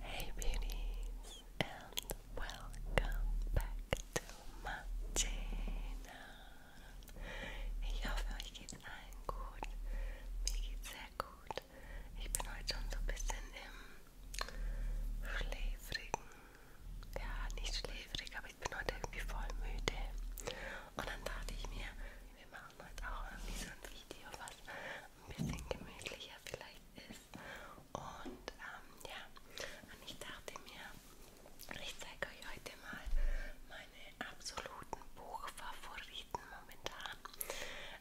Hey beauties and welcome back to my channel. Ich hoffe euch geht's allen gut. Mir geht's sehr gut. Ich bin heute schon so ein bisschen im schläfrigen. Ja, nicht schläfrig, aber ich bin heute irgendwie voll müde. Und dann dachte ich mir, wir machen heute auch irgendwie so ein Video, was ein bisschen gemütlicher vielleicht ist. Und ähm, ja, und ich dachte mir, ich zeige euch heute mal meine absoluten Buchfavoriten momentan.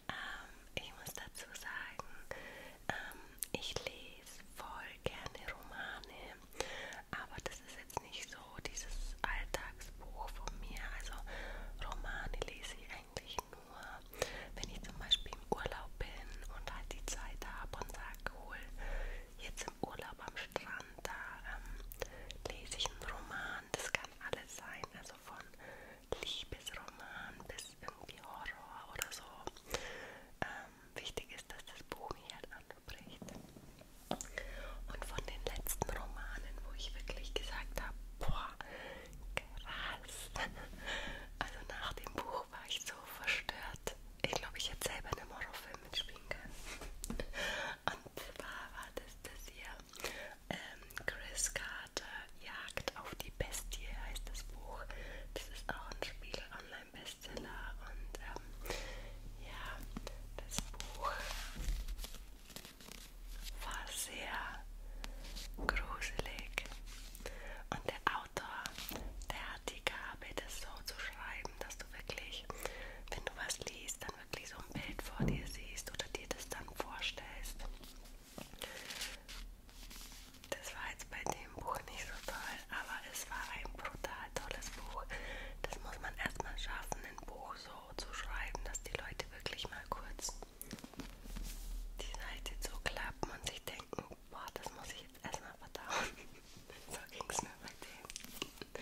Ähm, ich muss dazu sagen, ähm, ich lese voll gerne Romane, aber das ist jetzt nicht so dieses Alltagsbuch von mir. Also Romane lese ich eigentlich nur, wenn ich zum Beispiel im Urlaub bin und halt die Zeit habe und sage, cool, jetzt im Urlaub am Strand, da ähm, lese ich einen Roman. Das kann alles sein, also von Liebesroman bis irgendwie Horror oder so. Ähm, wichtig ist, dass das Buch mich halt anspricht. Und von den letzten Romanen, wo ich wirklich gesagt habe, boah, boah, krass. Also nach dem Buch war ich so verstört. Ich glaube, ich hätte selber einen Horrorfilm mitspielen können. Und zwar war das das hier. Ähm, Chris Carter Jagd auf die Bestie heißt das Buch. Das ist auch ein Spiegel-Online-Bestseller. Und ähm, ja, das Buch war sehr gruselig. Und der Autor, der hat die Gabe, das so zu schreiben, dass du wirklich, wenn du was liest, dann wirklich so ein Bild vor dir siehst oder dir das dann vorstellst. Das war jetzt bei dem Buch nicht so toll, aber es war ein brutal tolles Buch. Das muss man erstmal schaffen, ein Buch so zu schreiben, dass die Leute wirklich mal kurz die Seite so klappen und sich denken, boah, das muss ich jetzt erstmal verdauen. so ging es mir bei dem.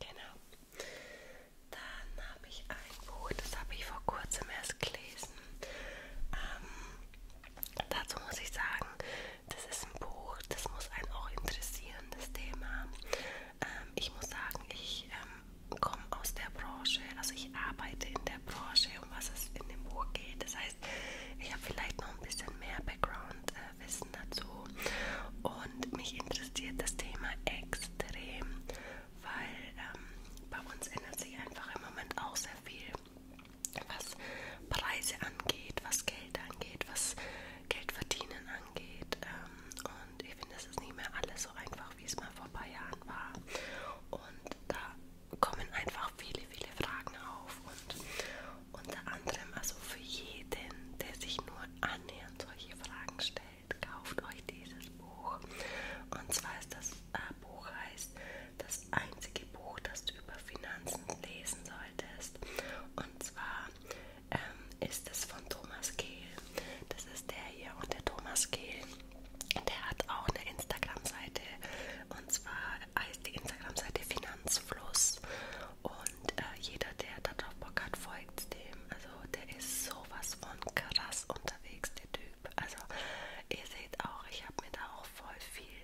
Genau. Dann habe ich ein Buch, das habe ich vor kurzem erst gelesen. Ähm, dazu muss ich sagen, das ist ein Buch, das muss einen auch interessieren, das Thema. Ähm, ich muss sagen, ich ähm, komme aus der Branche, also ich arbeite in der Branche, um was es in dem Buch geht. Das heißt, ich habe vielleicht noch ein bisschen mehr Background-Wissen äh, dazu und mich interessiert das Thema extrem, weil ähm, bei uns ändert sich einfach im Moment auch sehr viel, was Preise angeht, was Geld angeht, was Geldverdienen angeht ähm, und ich finde, es ist nicht mehr alles so einfach einfach, wie es mal vor ein paar Jahren war. Und da kommen einfach viele, viele Fragen auf. Und unter anderem, also für jeden, der sich nur annähernd solche Fragen stellt, kauft euch dieses Buch. Und zwar ist das äh, Buch heißt das einzige Buch, das du über Finanzen lesen solltest. Und zwar ähm, ist es von Thomas Kehl. Das ist der hier. Und der Thomas Kehl der hat auch eine Instagram-Seite und zwar heißt die Instagram-Seite Finanzfluss und äh, jeder, der darauf Bock hat, folgt dem. Also der ist sowas von krass unterwegs, der Typ. Also ihr seht auch, ich habe mir da auch voll viel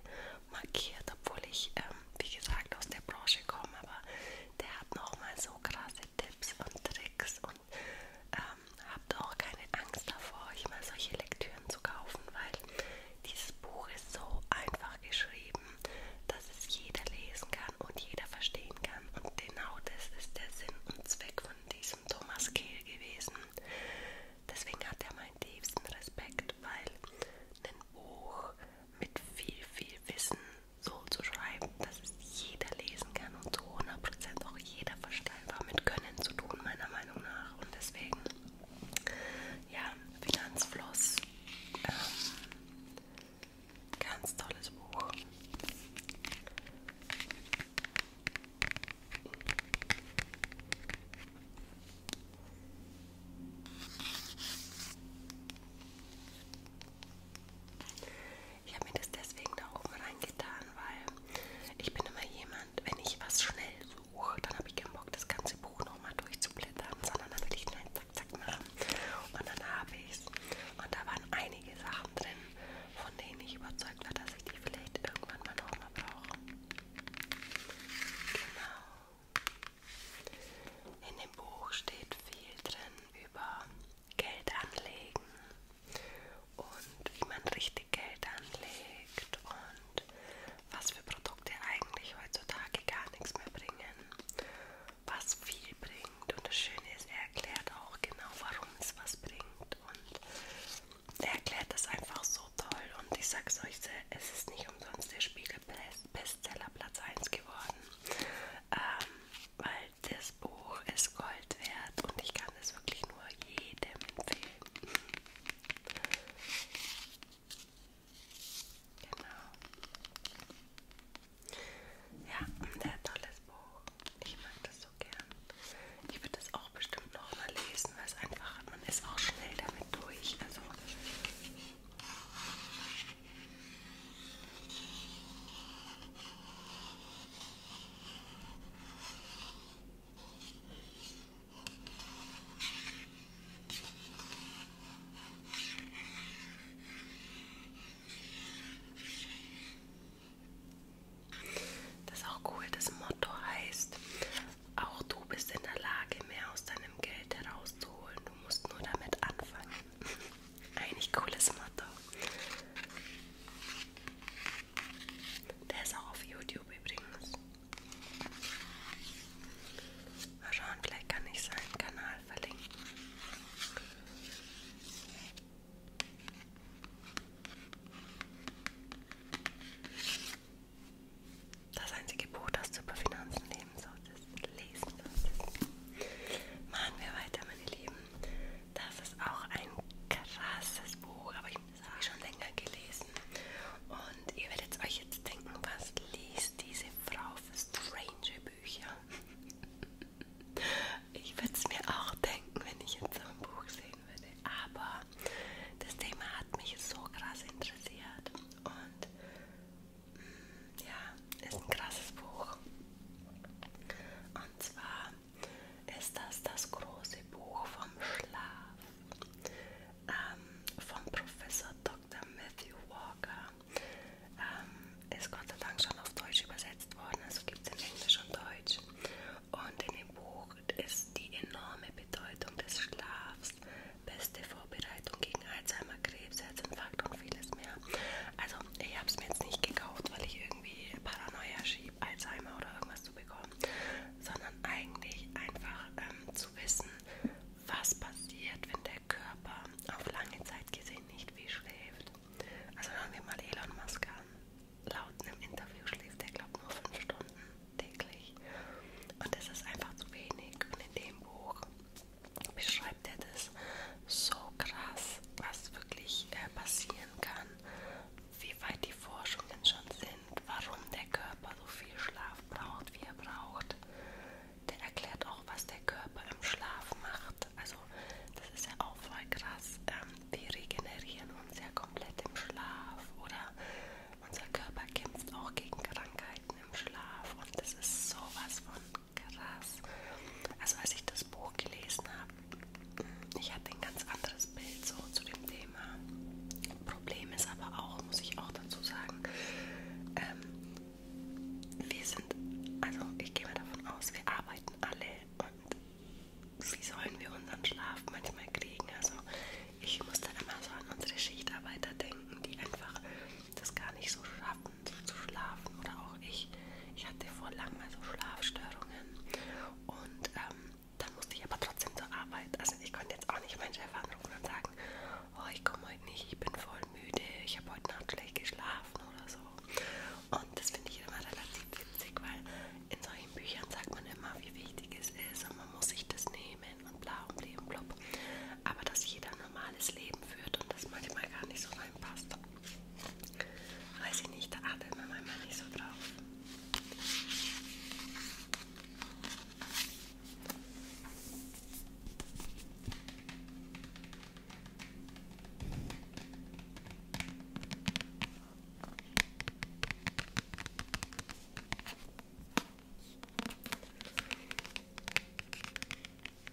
markiert, obwohl ich, ähm, wie gesagt, aus der Branche komme, aber der hat nochmal so krasse Tipps und Tricks und und ähm, habt auch keine Angst davor, euch mal solche Lektüren zu kaufen, weil dieses Buch ist so einfach geschrieben, dass es jeder lesen kann und jeder verstehen kann. Und genau das ist der Sinn und Zweck von diesem Thomas Kehl gewesen. Deswegen hat er meinen tiefsten Respekt, weil ein Buch mit viel, viel Wissen so zu schreiben, dass es jeder lesen kann und zu 100% auch jeder verstehen war mit Können zu tun, meiner Meinung nach. Und deswegen, ja, Finanzfluss, ähm, ganz tolles Buch. Ich habe mir das deswegen da oben reingetan, weil ich bin immer jemand, wenn ich was schnell suche, dann habe ich keinen Bock, das ganze Buch nochmal durchzublättern, sondern dann will ich schnell zack, zack machen. Und dann habe ich es. Und da waren einige Sachen drin, von denen ich überzeugt war, dass ich die vielleicht irgendwann mal nochmal brauche. Genau. In dem Buch steht viel drin über Geld anlegen und wie man richtig Geld anlegt und was für Produkte eigentlich heutzutage gar nichts mehr bringen, was viel bringt und das Schöne ist, er erklärt auch genau, warum es was bringt und er erklärt das einfach so toll und ich sag's euch, es ist nicht umsonst der Spiegel Bestseller Platz 1 geworden. Ähm, weil das Buch ist Gold wert und ich kann es wirklich nur jedem empfehlen. Genau. Ja, ein sehr tolles Buch. Ich mag das so gern. Ich würde das auch bestimmt noch mal lesen, weil es einfach, man ist auch schnell damit durch. Also das ist auch cool, das Motto heißt, auch du bist in der Lage, mehr aus deinem Geld herauszuholen. Du musst nur damit anfangen. Eigentlich cooles Motto. Der ist auch auf YouTube übrigens. Mal schauen, vielleicht kann ich seinen Kanal verlinken. Das einzige Buch, das du über Finanzen leben solltest, lesen solltest. Machen wir weiter, meine Lieben. Das ist auch ein krasses Buch, aber ich habe es schon länger gelesen. Und ihr werdet euch jetzt denken, was liest diese Frau für strange Bücher? Ich würde es mir auch denken, wenn ich jetzt so ein Buch sehen würde. Aber das Thema hat mich so krass interessiert. Und mm, ja, ist ein krasses Buch. Und zwar ist das das große Buch vom Schlaf ähm, vom Professor Dr. Matthew Walker. Ähm, ist Gott sei Dank schon auf Deutsch übersetzt worden, also gibt es in Englisch und Deutsch. Und in dem Buch ist die enorme Bedeutung des Schlafs, beste Vorbereitung gegen Alzheimer, Krebs, Herzinfarkt und vieles mehr also, ich habe es mir jetzt nicht gekauft, weil ich irgendwie Paranoia schiebe, Alzheimer oder irgendwas zu bekommen, sondern eigentlich einfach ähm, zu wissen, was passiert, wenn der Körper auf lange Zeit gesehen nicht viel schläft. Also, hören wir mal Elon Musk an. Laut einem Interview schläft er, glaube nur 5 Stunden täglich. Und das ist einfach zu wenig. Und in dem Buch beschreibt er das so krass, was wirklich äh, passiert, definieren kann, wie weit die Forschungen schon sind, warum der Körper so viel Schlaf braucht, wie er braucht. Der erklärt auch, was der Körper im Schlaf macht. Also das ist ja auch voll krass. Ähm, wir regenerieren uns ja komplett im Schlaf oder unser Körper kämpft auch gegen Krankheiten im Schlaf und das ist sowas von krass. Also als ich das das Buch gelesen habe, ich hatte ein ganz anderes Bild so zu dem Thema. Problem ist aber auch, muss ich auch dazu sagen, ähm, wir sind, also ich gehe mal davon aus, wir arbeiten alle und wie sollen wir unseren Schlaf manchmal kriegen? Also ich musste immer so an unsere Schichtarbeiter denken, die einfach das gar nicht so schaffen, so zu schlafen oder auch ich. Ich hatte vor langem mal so Schlafstörungen und ähm, dann musste ich aber trotzdem zur Arbeit. Also ich konnte jetzt auch nicht meinen Chef anrufen und sagen, oh, ich komme heute nicht, ich bin voll müde, ich habe heute Nacht schlecht geschlafen oder so. Und das finde ich immer relativ witzig, weil in solchen Büchern sagt man immer, wie wichtig es ist und man muss sich das nehmen und bla und blub. Aber dass jeder ein normales Leben führt und das manchmal gar nicht so reinpasst. Weiß ich nicht, da achtet man manchmal nicht so drauf.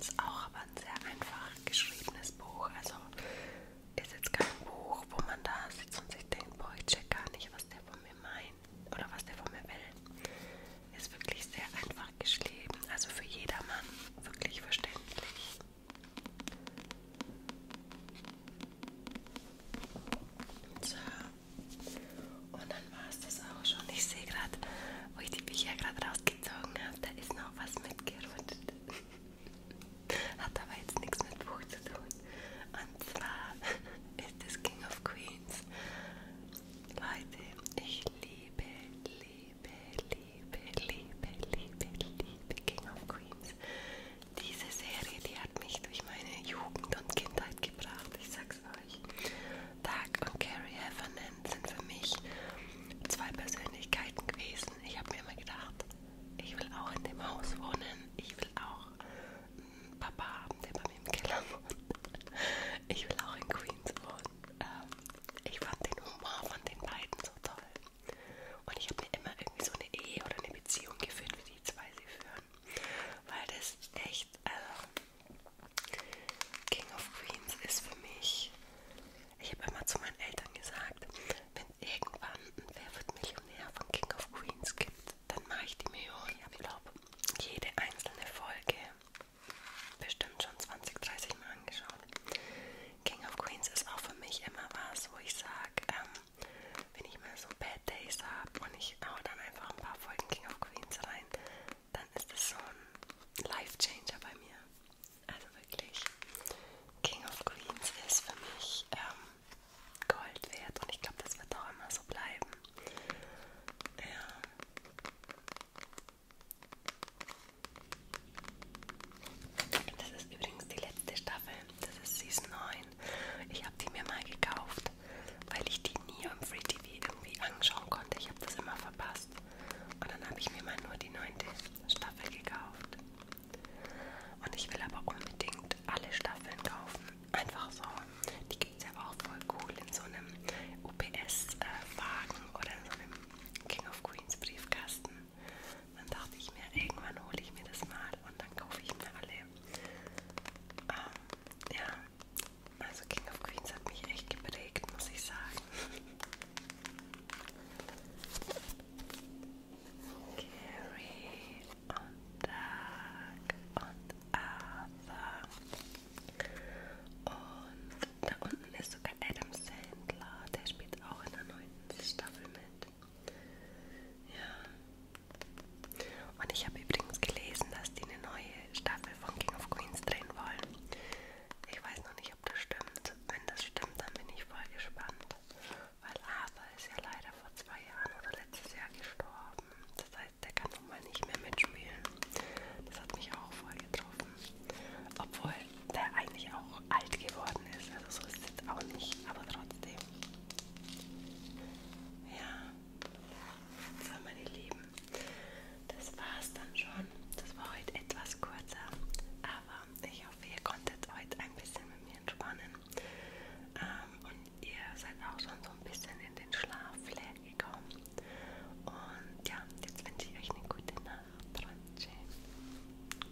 Ist auch aber ein sehr einfach geschriebenes Buch. Also ist jetzt kein Buch, wo man da sitzt und sich denkt, boah, ich check gar nicht, was der von mir meint oder was der von mir will. Ist wirklich sehr einfach geschrieben. Also für jedermann wirklich verständlich. So. Und dann war es das auch schon. Ich sehe gerade, wo ich die Bücher gerade rausgezogen habe, da ist noch was mitgerutscht. Hat aber jetzt nichts mit Buch zu tun. Und zwar ist es King of Queens. Leute, ich liebe, liebe, liebe, liebe, liebe, liebe King of Queens. Diese Serie, die hat mich durch meine Jugend und Kindheit gebracht, ich sag's euch. Doug und Carrie Heffernan sind für mich zwei Persönlichkeiten gewesen. Ich habe mir immer gedacht, ich will auch in dem Haus wohnen, ich will auch einen Papa haben, der bei mir im Keller wohnt. Ich will auch in Queens wohnen. Ähm, ich fand den Humor von den beiden so toll. Und ich habe mir immer irgendwie so eine Ehe oder eine Beziehung geführt, wie die zwei sie führen. Weil das echt, also King of Queens ist für mich. Ich habe immer zu meinen Eltern gesagt, wenn irgendwann ein Wer wird Millionär von King of Queens gibt, dann mache ich die Millionen. Ich glaube, jede einzelne Folge bestimmt schon 20, 30 Mal angeschaut. King of Queens ist auch für mich immer was, wo ich sage, ähm, wenn ich mal so Bad Days habe und ich hau dann einfach ein paar Folgen King of Queens rein, dann ist das so ein Life Changer bei mir. Also wirklich, King of Queens ist für mich ähm, Gold wert und ich glaube, das wird auch immer so bleiben. Ja. Das ist übrigens die letzte Staffel. Das ist Season 9. Ich habe die mir mal gekauft, weil ich die nie am Free TV irgendwie anschauen konnte. Ich habe das immer verpasst. Und dann habe ich mir mal nur die neunte Staffel gekauft. Und ich will aber unbedingt alle Staffeln kaufen. Einfach so. Die gibt es ja auch voll cool in so einem UPS-Wagen äh, oder in so einem King of Queens Briefkasten. Dann dachte ich mir, irgendwann hole ich mir das mal und dann kaufe ich mir alle. Ähm, ja, also King of Queens hat mich echt geprägt, muss ich sagen. Gary und Doug und Arthur. Und da unten ist sogar Adam Sandler, der spielt auch in der neuen Staffel mit. Ja. Und ich habe übrigens gelesen, dass die eine neue Staffel von King of Queens drehen wollen. Ich weiß noch nicht, ob das stimmt. Wenn das stimmt, dann bin ich voll gespannt. Weil Arthur ist ja leider vor zwei Jahren oder letztes Jahr gestorben. Das heißt, der kann nun mal nicht mehr mitspielen. Das hat mich auch voll getroffen. Obwohl, der eigentlich auch alt geworden ist. Also so ist es jetzt auch nicht, aber trotzdem. Ja, so meine Lieben, das war's dann schon. Das war heute etwas kurzer, aber ich hoffe, ihr konntet heute ein bisschen mit mir entspannen. Ähm, und ihr seid auch schon so ein bisschen in den Schlaf gekommen. Und ja, jetzt wünsche ich euch eine gute Nacht. Tschüss.